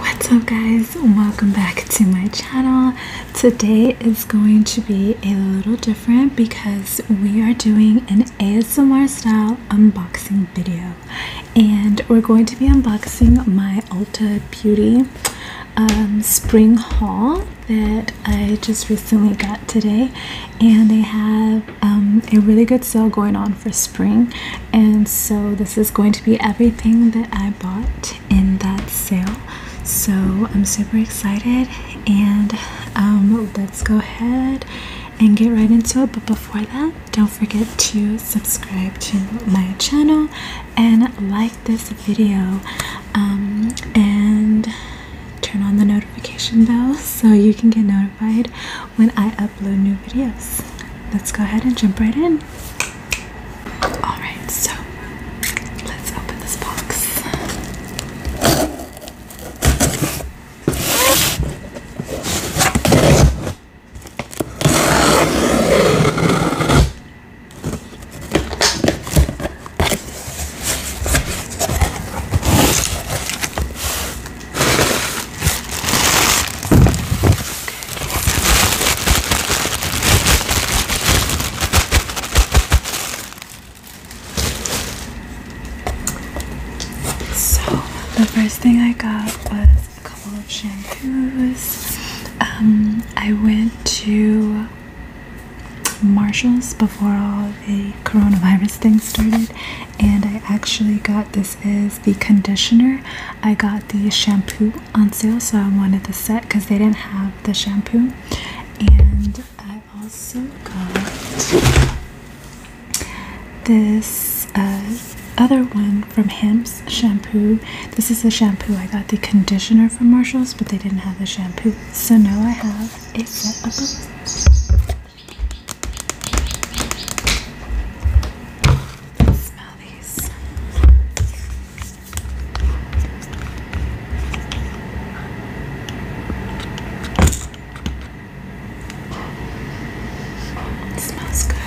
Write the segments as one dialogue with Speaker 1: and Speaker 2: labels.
Speaker 1: What's up guys? Welcome back to my channel. Today is going to be a little different because we are doing an ASMR style unboxing video and we're going to be unboxing my Ulta Beauty um, spring haul that I just recently got today and they have um, a really good sale going on for spring and so this is going to be everything that I bought in that sale. So I'm super excited and um, let's go ahead and get right into it. But before that, don't forget to subscribe to my channel and like this video um, and turn on the notification bell so you can get notified when I upload new videos. Let's go ahead and jump right in. Alright, so let's open this box. So, the first thing I got was a couple of shampoos. Um, I went to Marshall's before all the coronavirus thing started, and I actually got this is the conditioner. I got the shampoo on sale, so I wanted the set because they didn't have the shampoo. And I also got this uh, other one from Hims shampoo. This is the shampoo I got the conditioner from Marshalls, but they didn't have the shampoo. So now I have a set of both. Smell these. It smells good.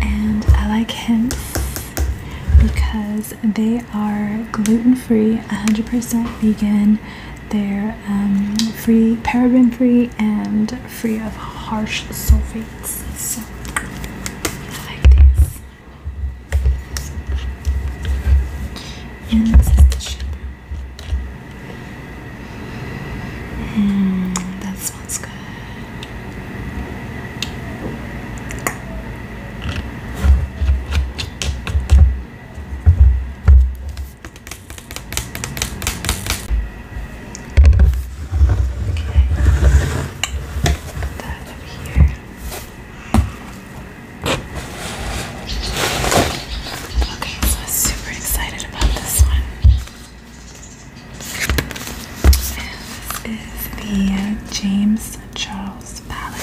Speaker 1: And I like Hemp's because they are gluten-free, 100% vegan. They're um, free, paraben-free, and free of harsh sulfates. So I like this. And this is the shampoo. Mm, that smells good. Okay, put that over here. Okay, so I'm super excited about this one. This is the James Charles palette.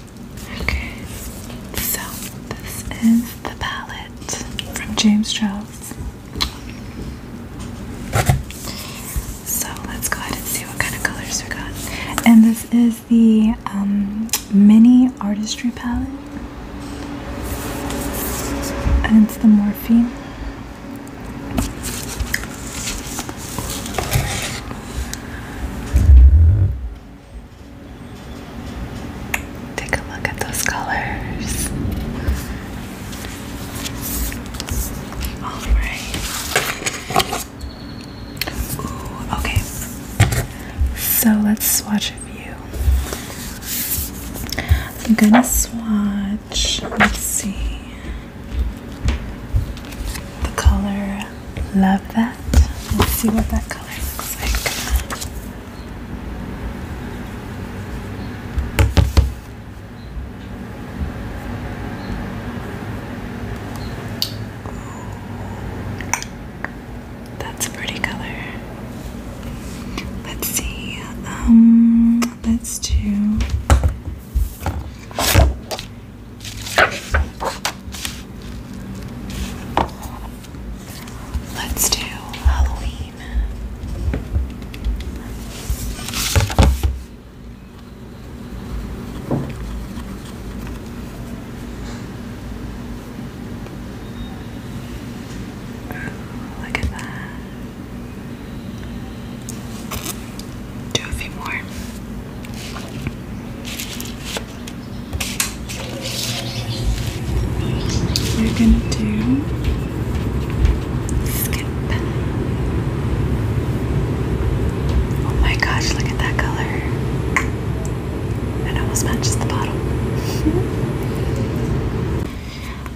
Speaker 1: Okay, so this is the palette from James Charles. So let's go ahead and see what kind of colors we got. And this is the um, mini artistry palette, and it's the Morphine. Take a look at those colors. All right. okay. So let's swatch a few. I'm gonna swatch. Let's see. The color, love that. Let's see what that color looks like. That's a pretty color. Let's see. Um, let's do Let's do Halloween. look at that. Do a few more. We're gonna do skip. Oh my gosh, look at that color. It almost matches the bottle.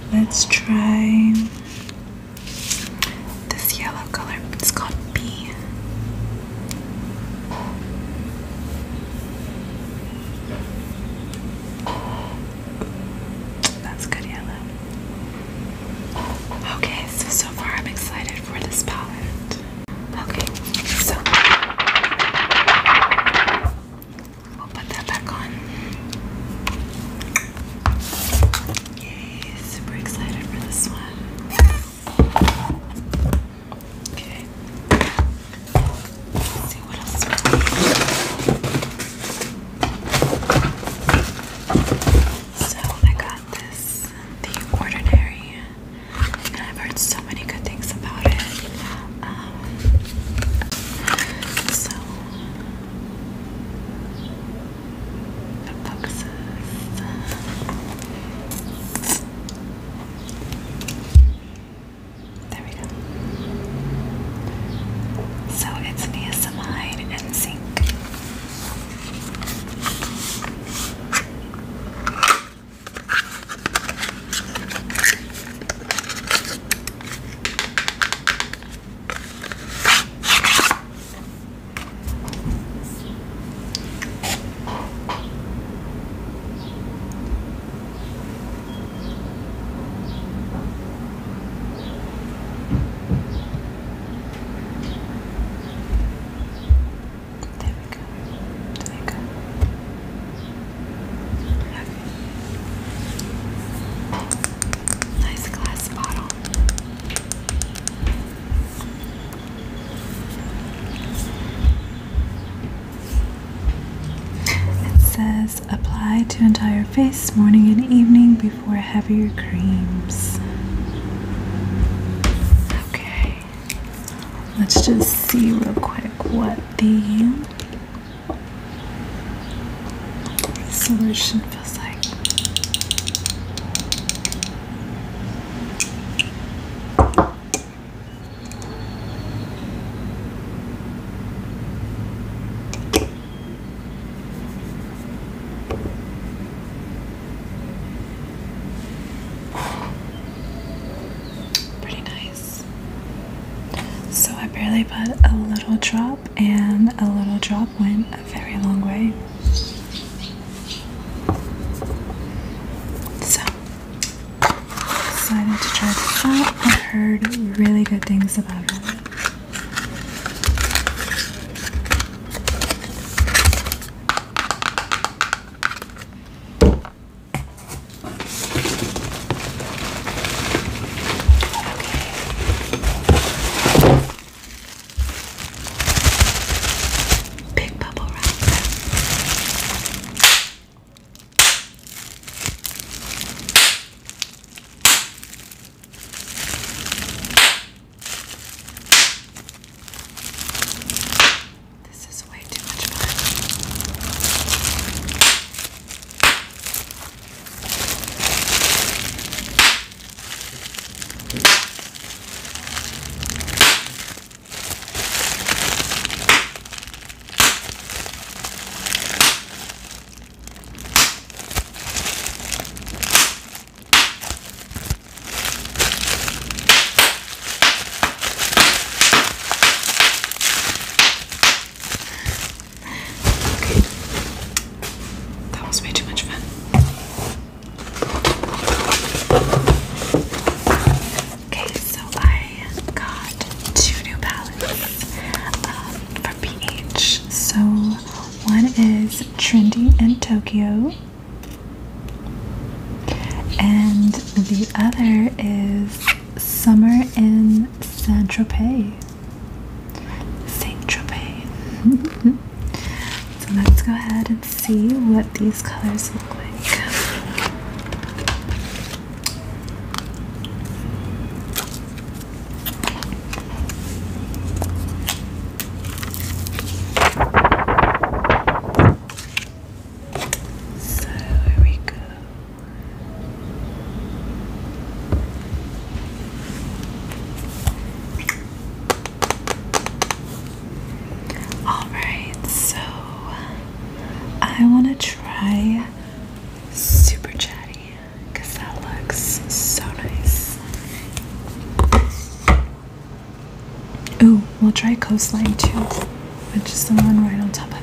Speaker 1: Let's try this yellow color, it's called B. That's good yellow. Okay, so so far I'm excited for this palette. Okay, so we'll put that back on. Yay, super excited for this one. Okay. see what else So I got this, The Ordinary, I've heard so many good things about it. Um, so that focuses. There we go. So it's niacinamide and zinc. There we go. There we go. Okay. Nice glass bottle says apply to entire face morning and evening before heavier creams. Okay, let's just see real quick what the solution Pretty nice. So I barely put a little drop, and a little drop went a very long way. So decided to try this out. I've heard really good things about it. Big bubble wrap. This is way too much fun. Okay. That was way too much fun. Okay, so I got two new palettes um, from So one is Trendy in Tokyo, and the other is Summer in Saint Tropez. Saint Tropez. So let's go ahead and see what these colors look like. So here we go. Alright, so I want to try Super Chatty because that looks so nice. Ooh, we'll try Coastline too, which is the one right on top of it.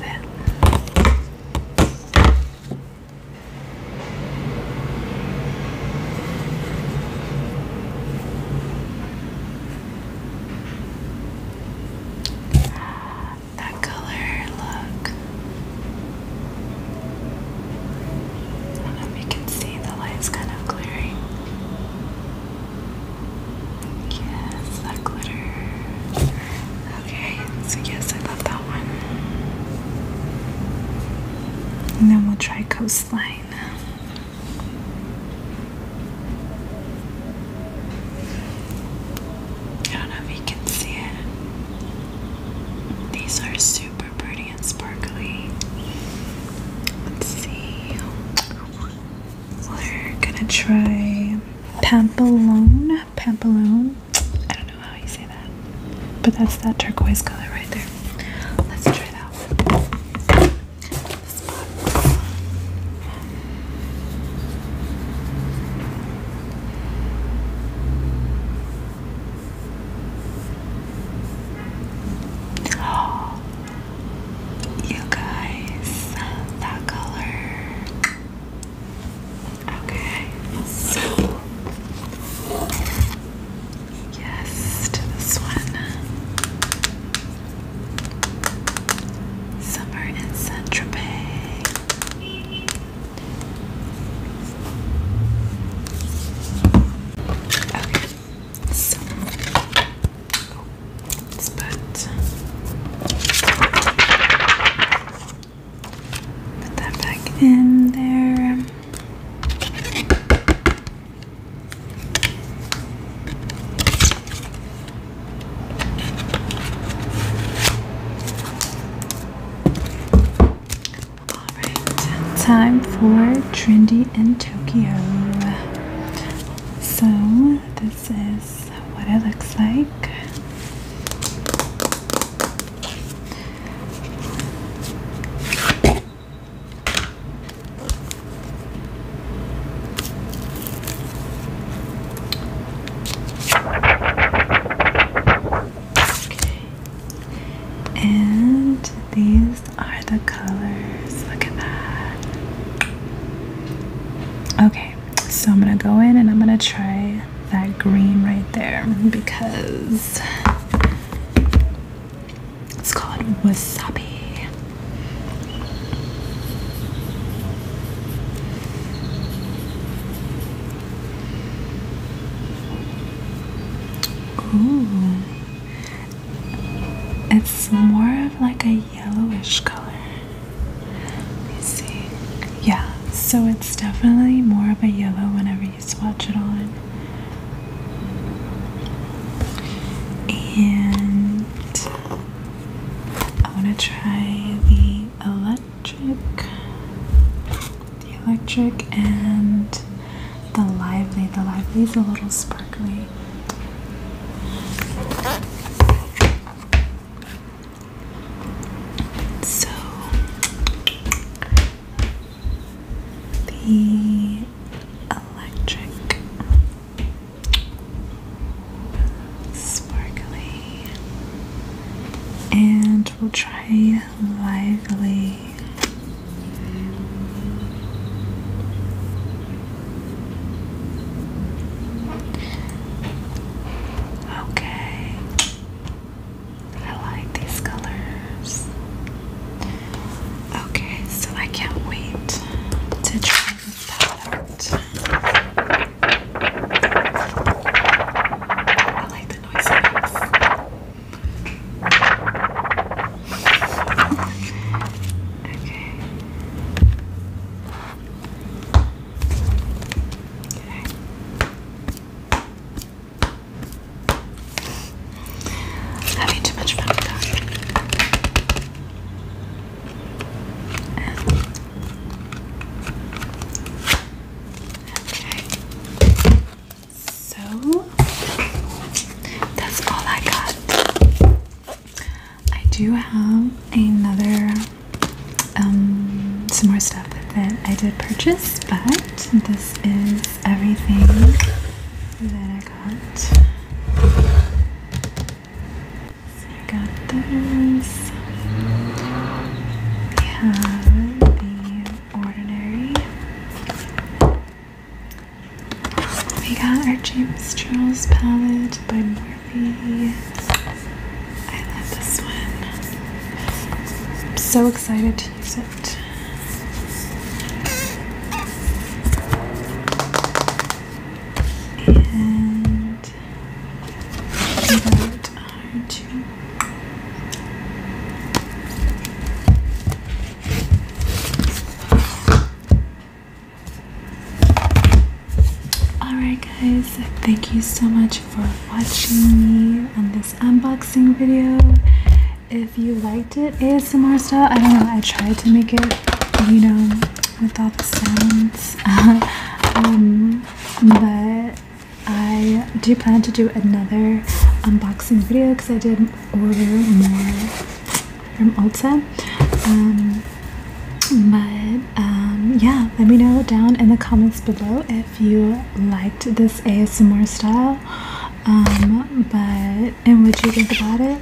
Speaker 1: That color, look. I don't know if you can see the light's kind of glaring. Yes, that glitter. Okay, so yes, I love that one. And then we'll try Coast I don't know if you can see it. These are super pretty and sparkly. Let's see. We're gonna try Pampelone. Pampelone. I don't know how you say that. But that's that turquoise color right there. Let's try that you guys, that color. Okay, so Yes, to this one. Summer in Saint Okay, so let's put, put that back in there. Alright, time for Trendy in Tokyo. So, this is what it looks like. Okay. And these are the colors. Look at that. Okay, so I'm gonna go in and I'm gonna try that green right there because it's called wasabi. Ooh. It's more of like a yellowish color. Yeah, so it's definitely more of a yellow whenever you swatch it on. And I want to try the electric, the electric, and the lively. The lively is a little sparkly. So the electric sparkly and we'll try lively Okay. I like these colors. Okay, so I can't wait to try this palette. I like the noise Okay. Okay. Having too much fun Okay. So that's all I got. I do have another um some more stuff that I did purchase, but this is everything that I got. So I got this. We have the ordinary. We got our James Charles palette by Morphe. I love this one. I'm so excited and what are two? Alright guys, thank you so much for watching me on this unboxing video if you liked it ASMR style. I don't know, I tried to make it, you know, with all the sounds. Um, but I do plan to do another unboxing video because I did order more from Ulta. Um, but um, yeah, let me know down in the comments below if you liked this ASMR style. Um, but and what you think about it.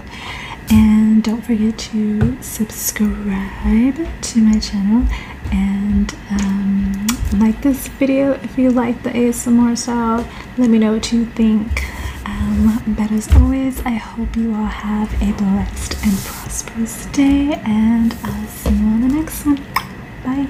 Speaker 1: And don't forget to subscribe to my channel and um, like this video if you like the ASMR So Let me know what you think. Um, but as always, I hope you all have a blessed and prosperous day, and I'll see you on the next one. Bye.